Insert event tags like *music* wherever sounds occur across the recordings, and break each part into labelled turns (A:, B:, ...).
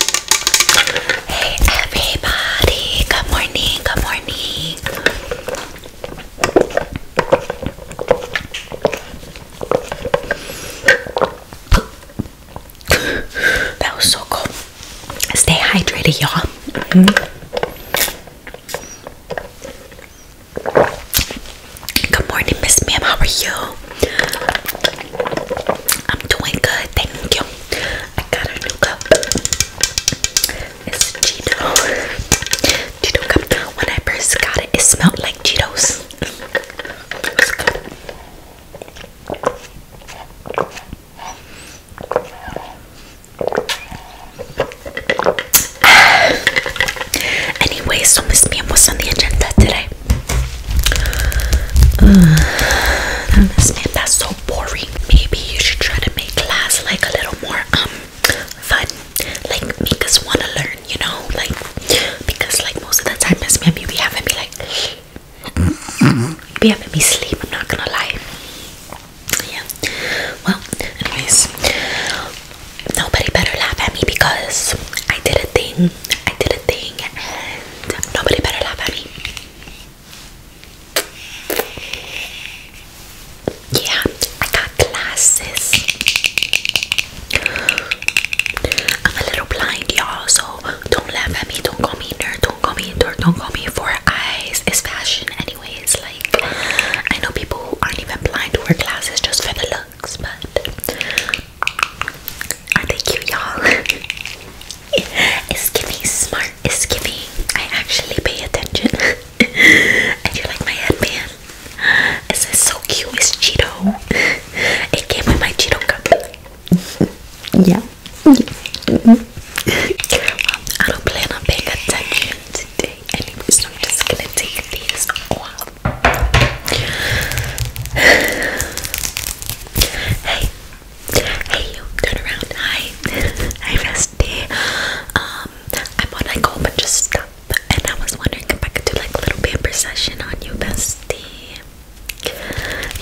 A: Hey everybody, good morning, good morning. that was so cool. Stay hydrated, y'all. Mm-hmm. Good morning, Miss Ma'am. How are you? I'm doing good, thank you. I got a new cup. It's Cheeto. Cheeto cup. When I first got it, it smelled like Cheetos. *sighs* Anyways, so Miss Mia, what's on the agenda today? Okay. *sighs* understand that's so boring. Maybe you should try to make class like a little more um, fun. Like make us want to learn, you know? Like because like most of the time Miss maybe we haven't be like we haven't be sleep, I'm not gonna lie. Yeah. Well, anyways, nobody better laugh at me because I did a thing. I did a thing and nobody better laugh at me. Yeah, I got glasses. I'm a little blind, y'all, so don't laugh at me. Don't call me nerd. Don't call me nerd. Don't call me four eyes. It's fashion, anyways. Like, I know people who aren't even blind to wear glasses just for the looks, but are they cute, y'all? *laughs* it's giving smart. It's giving. I actually pay attention. and *laughs* you like my headband? This so cute. It's Cheeto. it came with my Cheeto cup. *laughs* yeah. I don't plan on paying attention today, anyway, so I'm just gonna take these *sighs* Hey, Hey you, turn around. Hi. *laughs* Hi bestie. Um, I bought like a whole bunch of stuff and I was wondering if I could do like a little pamper session on you bestie.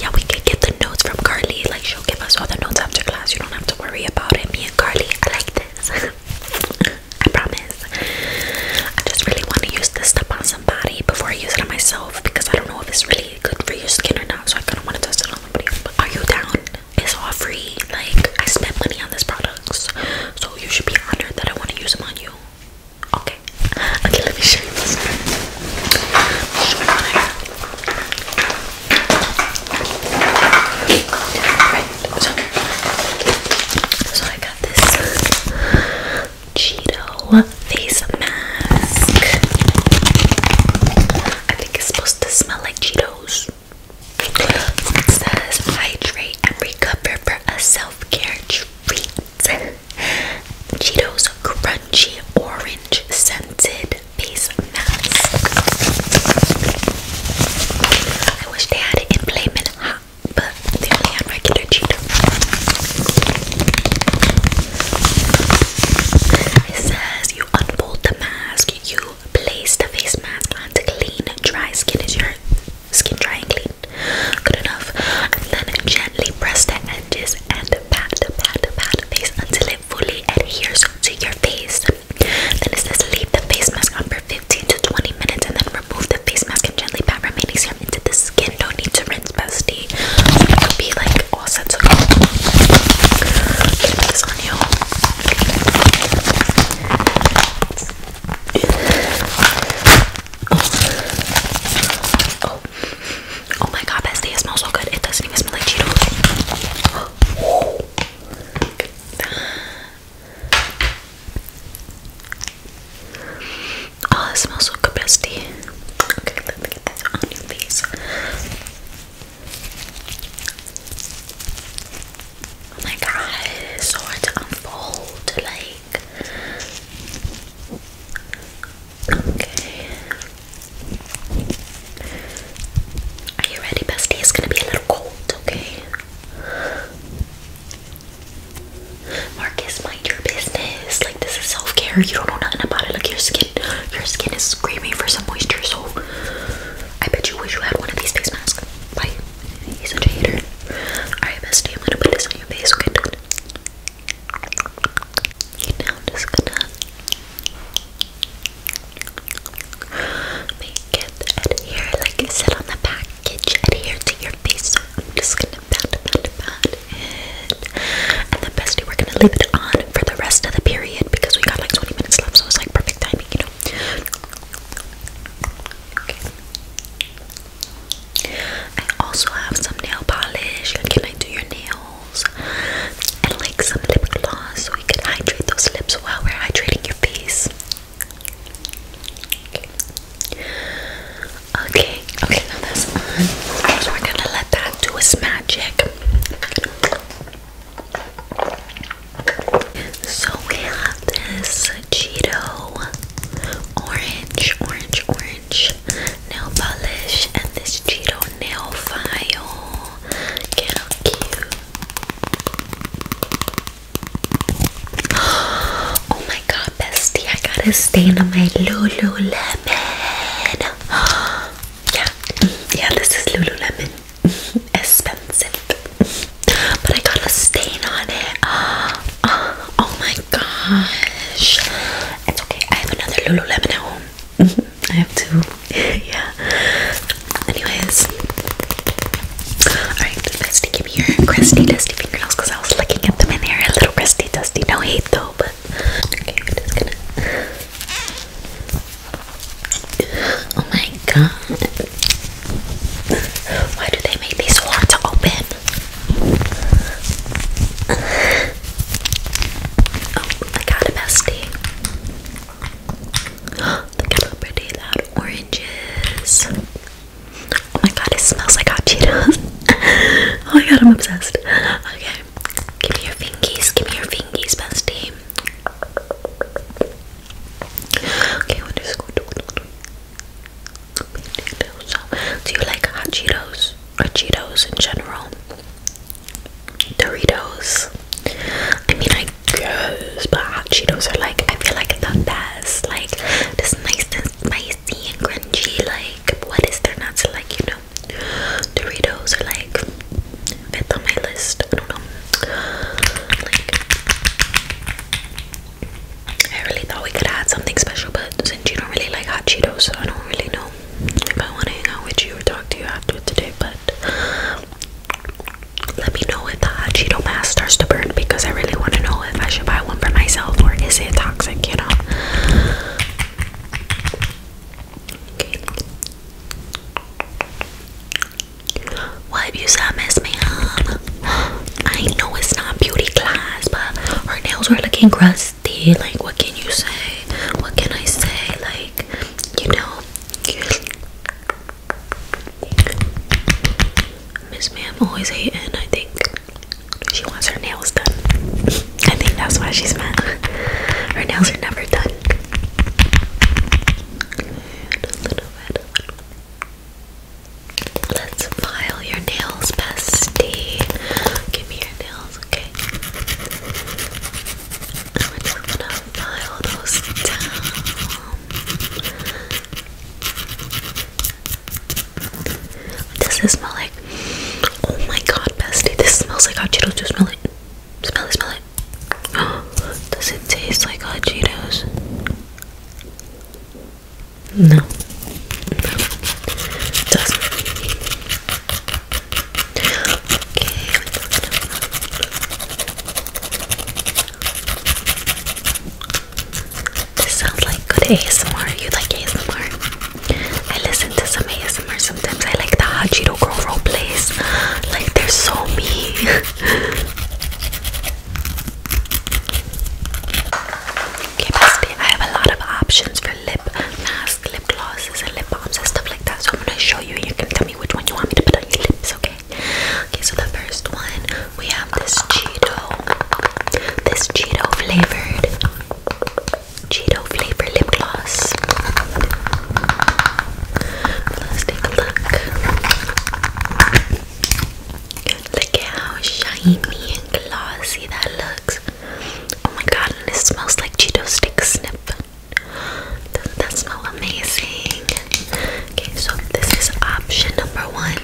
A: Yeah, we could get the notes from Carly. Like she'll give us all the notes after class. You don't have to worry about it. Me and Carly, I like this. *laughs* I promise. I just really want to use this stuff on somebody before I use it on myself because I don't know if it's really good for your skin or not. So I kind of want to test it on somebody. But are you down? It's all free. Like I spent money on these products, so you should be honored that I want to use them on you. Okay. *laughs* Okay. Let me show you this. Show So, so I got this Cheeto face mask. I think it's supposed to smell like Cheetos. It says hydrate and recover for a self-care treat. Cheetos crunchy orange scented face mask. I wish they had it in plain hot, but they only had regular Cheetos. It says you unfold the mask, you place the face mask onto clean, dry skin. Is your skin dry and clean? Good enough. And then gently press the edges and pat, pat, pat the face until it fully adheres to your face. Then it says leave the face mask on for 15 to 20 minutes and then remove the face mask and gently pat remaining serum into the skin. Don't need to friend's bestie. it could be like all sets of Oh. my god, bestie, it smells so good. It doesn't smell like Cheetos. Oh, it smells so good, bestie. Okay, let me get this on your face. Oh my god, it is so to unfold. Like, okay. Are you ready, bestie? It's gonna be a little cold, okay? Marcus, mind your business this is self-care. You don't know nothing about it. Like your skin, your skin is screaming for some moisture. So I bet you wish you had one of these face masks. Why? He's such a hater. Alright, bestie, I'm gonna put this on your face, okay? now I'm just gonna make it adhere, like it said on the package, adhere to your face. So just gonna pat, pat, pat it. we're gonna leave it on for the rest of the period because we got like 20 minutes left, so it's like perfect timing, you know. Okay. I also have some nail polish. can I do your nails? And like some lip gloss so we can hydrate those lips while we're hydrating your face. Okay, Okay, now that's on. we're gonna let that do its magic. So we have this Cheeto orange, orange, orange nail polish and this Cheeto nail file. Get how cute. *gasps* Oh my god, bestie, I got a stain on my Lululemon. *gasps* yeah, yeah, this is Lululemon. *laughs* Expensive, but I got a stain on it. *gasps* oh my gosh! It's okay. I have another Lululemon at home. *laughs* I have two. *laughs* yeah. Anyways, all right. Let's give me your crusty, dusty fingernails because I was looking at them in there. a little crusty, dusty. No hate though, but Okay, I'm just gonna. Oh my god. Why do they make these so hard to open? Oh, I got a bestie. Look at how pretty that orange Oh my god, it smells like hot Cheetos. *laughs* oh my god, I'm obsessed. Okay. Give me your fingies, give me your fingies, bestie. Okay, Do you like hot Cheetos or Cheetos in general? Doritos. I mean, I guess, but hot Cheetos are like, I feel like the best. Like, this nice and spicy and crunchy. Like, what is there not to like, you know? yeah. are like fifth on my list. I don't know. I really thought we could add something special, but since you don't really like hot Cheetos, I don't really know if I want to hang out with you or talk to you after today, but let me know if the hot Cheeto mask starts to burn because I really want to know if I should buy one for myself or is it toxic, you know? What you said, Miss Ma'am? I know it's not beauty class, but her nails were looking crusty. Like, what can you say? What can I say? Like, you know. Miss Ma'am always hating, I think. She wants her nails done. I think that's why she's mad. Her nails are never done. Let's file your nails, bestie. Give me your nails, okay? I'm just gonna file those down. Does this smell like oh my god, bestie, this smells like hot Cheetos. Do smell it? Smell it, smell it. *gasps* does it taste like hot Cheetos? No. No. It doesn't. Okay. This sounds like good ASMR. You like ASMR? I listen to some ASMR sometimes. I like the hot Cheeto girl role plays. Like they're so me. *laughs* okay, bestie, I have a lot of options for lip masks, lip glosses, and lip balms and stuff like that. So I'm gonna show you and you can tell me which one you want me to put on your lips, okay? Okay, so the first one we have this Cheeto. This Cheeto flavored Cheeto flavor lip gloss. Let's take a look. Look at how shiny and glossy that looks. Oh my god, and it smells like Cheeto stick snip. Doesn't that smell amazing? Okay, so this is option number one.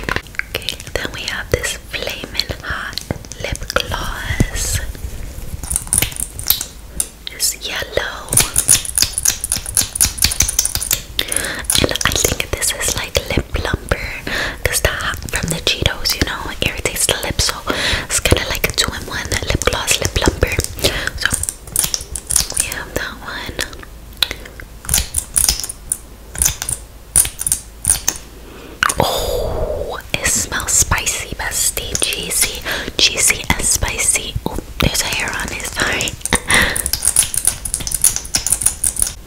A: Okay, then we have this flaming hot lip gloss is yellow. And I think this is like lip plumper because the from the Cheetos, you know, it irritates the So it's kind of like a two in one lip gloss, lip plumper. So we have that one. Oh, it smells spicy, bestie. Cheesy, cheesy and spicy. Oh, there's a hair on his sorry.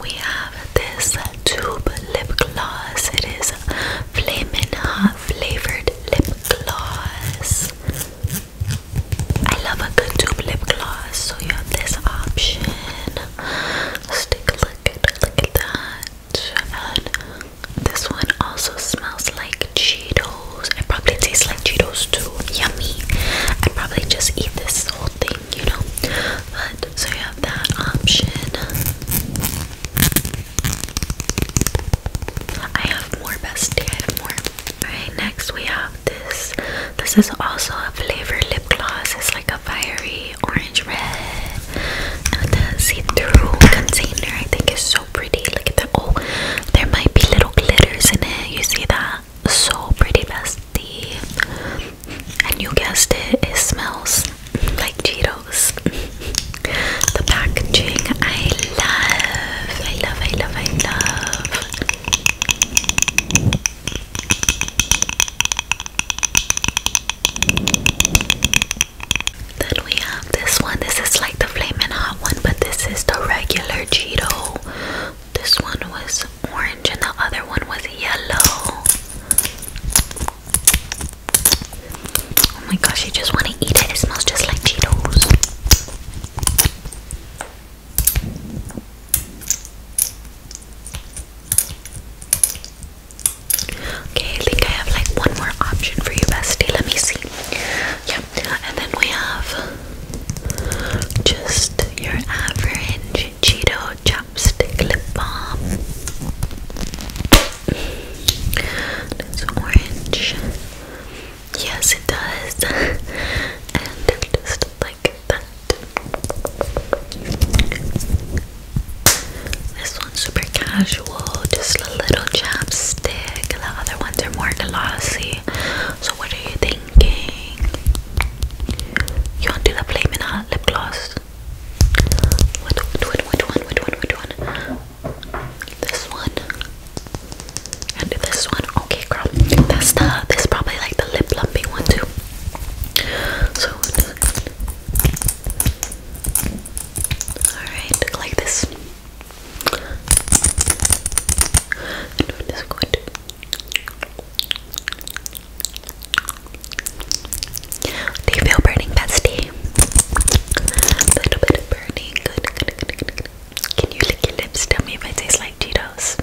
A: *laughs* we have this tube lip gloss. It is flaming Hot Flavored Lip Gloss. I love a good tube lip gloss, so you have this option. take a look at, look at that. This one also smells like Cheetos. It probably tastes like Cheetos too. Yummy. i probably just eat this whole thing, you know. But so you have that option. I have more bestie. I have more. Alright, next we have this. This is also a flavor lip gloss. It's like a fiery orange red the see-through container I think is so pretty. Look at that! oh there might be little glitters in it. You see that? So pretty bestie. And you guessed it, it smells like Cheetos. the packaging I love. I love I love I love then we have this one. This is like the flaming hot one, but this is the regular Cheeto. This one was orange and the other one was yellow. Oh my gosh, you just want to eat it. It smells just like Cheetos. Okay, I think I have like one more option for you, bestie. Let me see. Yeah, and then we have just your average Cheeto chopstick lip balm. It's orange. Yes, it does. *laughs* and just like that. This one's super casual, just a little chapstick. The other ones are more glossy. So what are you thinking? You want to do the Flamin' Hot lip gloss? What, one? Which one? Which one? Which one? This one and this one. Okay, girl. That's the. This is probably like the lip plumping one too. So. Alright, like this. do you feel burning, bestie? A little bit of burning. Good, Can you lick your lips? Tell me if it tastes like Cheetos.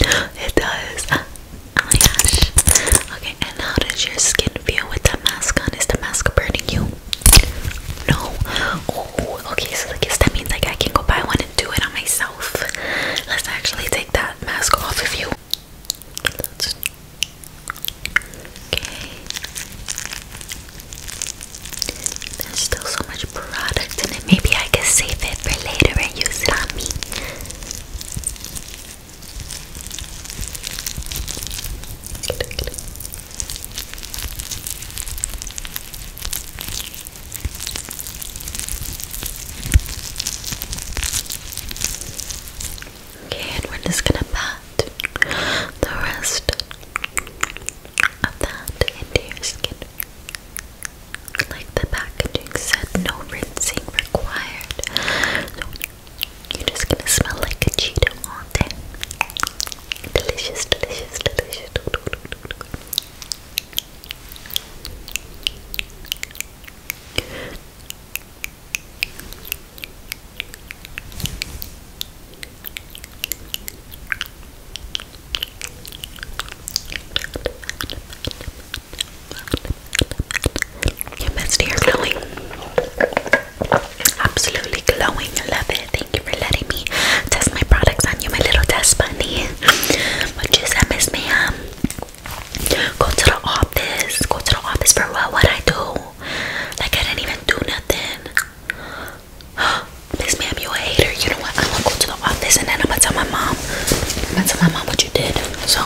A: It does. Oh my gosh. Okay, and how does your skin feel with that mask on? Is the mask burning you? No. Oh, okay. So the guess that means like I can go buy one and do it on myself. Let's actually take that mask off of you. Okay. There's still so much product in it. Maybe I can save it for later and use on me. Okay, and we're just gonna pat the rest of that into your skin. Like the packaging said, no rinsing required. You're just gonna smell like a Cheeto, aren't Delicious, delicious, delicious. Your best ear, Millie. Absolutely glowing. I love it. Thank you for letting me test my products on you, my little test bunny. Muchísimas miss me. Um, go to the office. Go to the office for what? What I do? Like I didn't even do nothing. *gasps* Miss ma'am, you a hater. You know what? I'm gonna go to the office and then I'm gonna tell my mom. I'm gonna tell my mom what you did. So